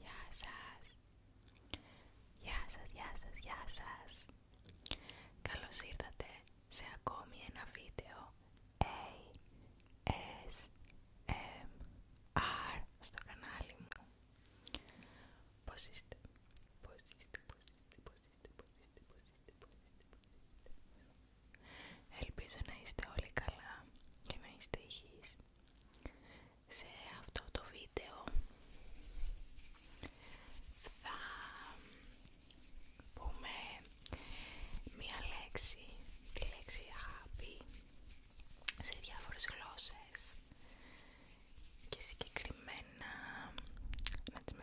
Γεια σας! Γεια σας, γεια σας, γεια σας! Καλώς ήρθατε σε ακόμη ένα βίντεο ASMR στο κανάλι μου. Πώς είστε, πώς είστε, πώς είστε, πώς είστε. Ελπίζω να είστε όλοι καλά και να είστε υγιείς. Σε αυτό το βίντεο θα πούμε μία λέξη, τη λέξη αγάπη σε διάφορες γλώσσες και συγκεκριμένα να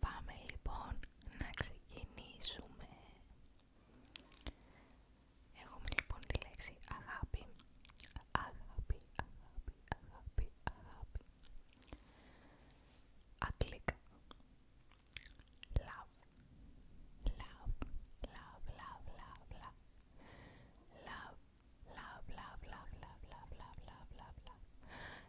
Πάμε λοιπόν να ξεκινήσουμε. Έχουμε λοιπόν τη λέξη αγάπη. Αγάπη, αγάπη, αγάπη, αγάπη. Αγγλικά. Love. Love, love, love, love, love. Love, love, love, love, love, love, love, love, love, love.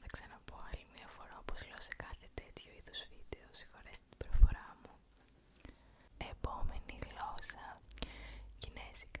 Θα ξαναπώ άλλη μια φορά όπως λέω σε κάθε τέτοιο είδους βίντεο, συγχωρέστε την προφορά μου. Επόμενη γλώσσα, Κινέζικα.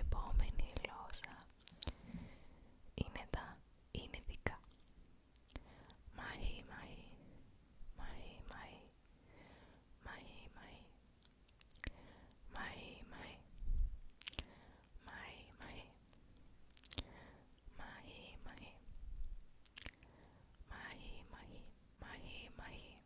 Επόμενη γλώσσα είναι τα Ινδικά. Μαΐ, μαΐ, μαΐ, μαΐ, μαΐ, μαΐ, μαΐ, μαΐ, μαΐ, μαΐ, μαΐ, μαΐ, μαΐ, μαΐ, μαΐ, μαΐ,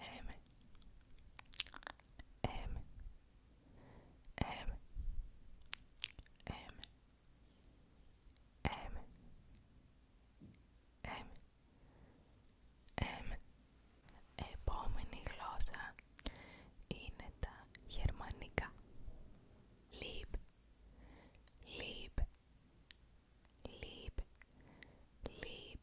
M M M M M M Επόμενη γλώσσα είναι τα γερμανικά. Lieb, lieb, lieb, lieb,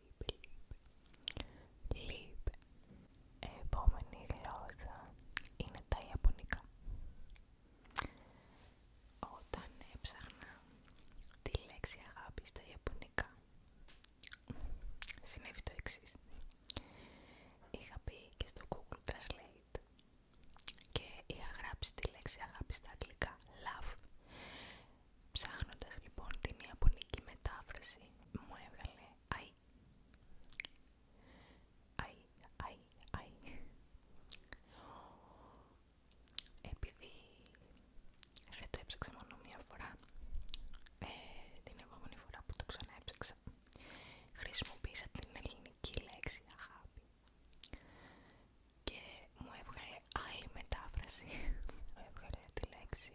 Λίπε. λίπ, Επόμενη γλώσσα είναι τα Ιαπωνικά. Όταν έψαχνα τη λέξη αγάπη στα Ιαπωνικά, συνέβη το εξή. Είχα πει και στο Google Translate και είχα γράψει τη λέξη αγάπη στα αγγλικά love Ψάχνοντας λοιπόν την Ιαπωνική μετάφραση μου έβγαλε αϊ αϊ αϊ αϊ επειδή δεν το έψαξα μόνο μία φορά ε, την επόμενη φορά που το ξαναέψαξα χρησιμοποίησα την ελληνική λέξη αγάπη και μου έβγαλε άλλη μετάφραση μου έβγαλε τη λέξη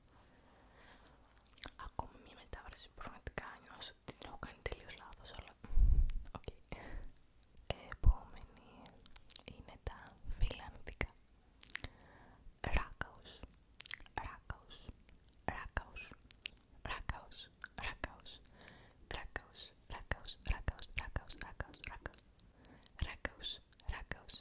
Ακόμα μια μετάφραση που πραγματικά νιώσω την έχω κάνει τελείως λάθος, αλλά οκ. Okay. Επόμενη είναι τα φιλανδικά. Ράκαους, ράκαους, ράκαους, ράκαους, ράκαους, ράκαους,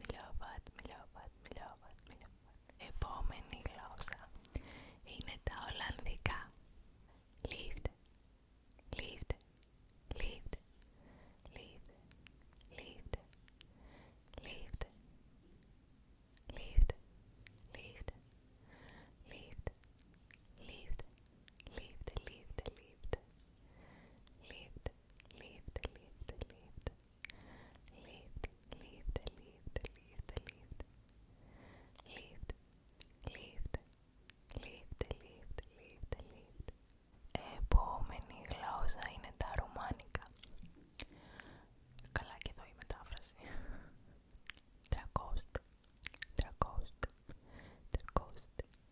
μιλόβατ, μιλόβατ, μιλόβατ, μιλόβατ. Επόμενη γλώσσα είναι τα Ολλανδικά. lift lift lift lift lift lift lift lift lift lift lift lift lift Lived, lived, lived, lived, lived. Lived, lived, lived, lived, lived, lived. Επόμενη γλώσσα είναι τα ρουμάνικα. Καλά και εδώ η μετάφραση. Τρακόστ, τρακόστ, τρακόστ,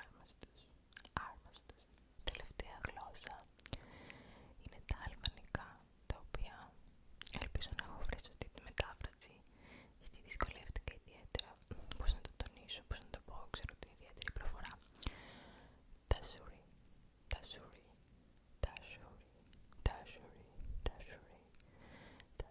άρμαστος, άρμαστος. Τελευταία γλώσσα είναι τα αλβανικά, τα οποία ελπίζω να έχω βρει σωστή τη μετάφραση, γιατί δυσκολεύτηκα ιδιαίτερα πώς να το τονίσω, πώς να το πω, ξέρω την ιδιαίτερη προφορά. Τα Τασούρι τα Τασούρι τα σουρι, τα τα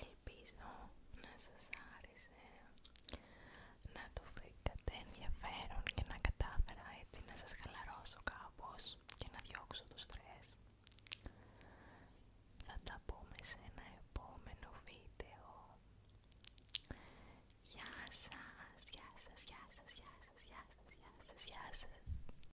Ελπίζω να σας άρεσε, να το βρήκατε ενδιαφέρον και να κατάφερα έτσι να σας χαλαρώσω κάπως και να διώξω το στρες. Θα τα πούμε σε ένα επόμενο βίντεο. Γεια σας, γεια σας, γεια σας, γεια σας, γεια σας, γεια σας, γεια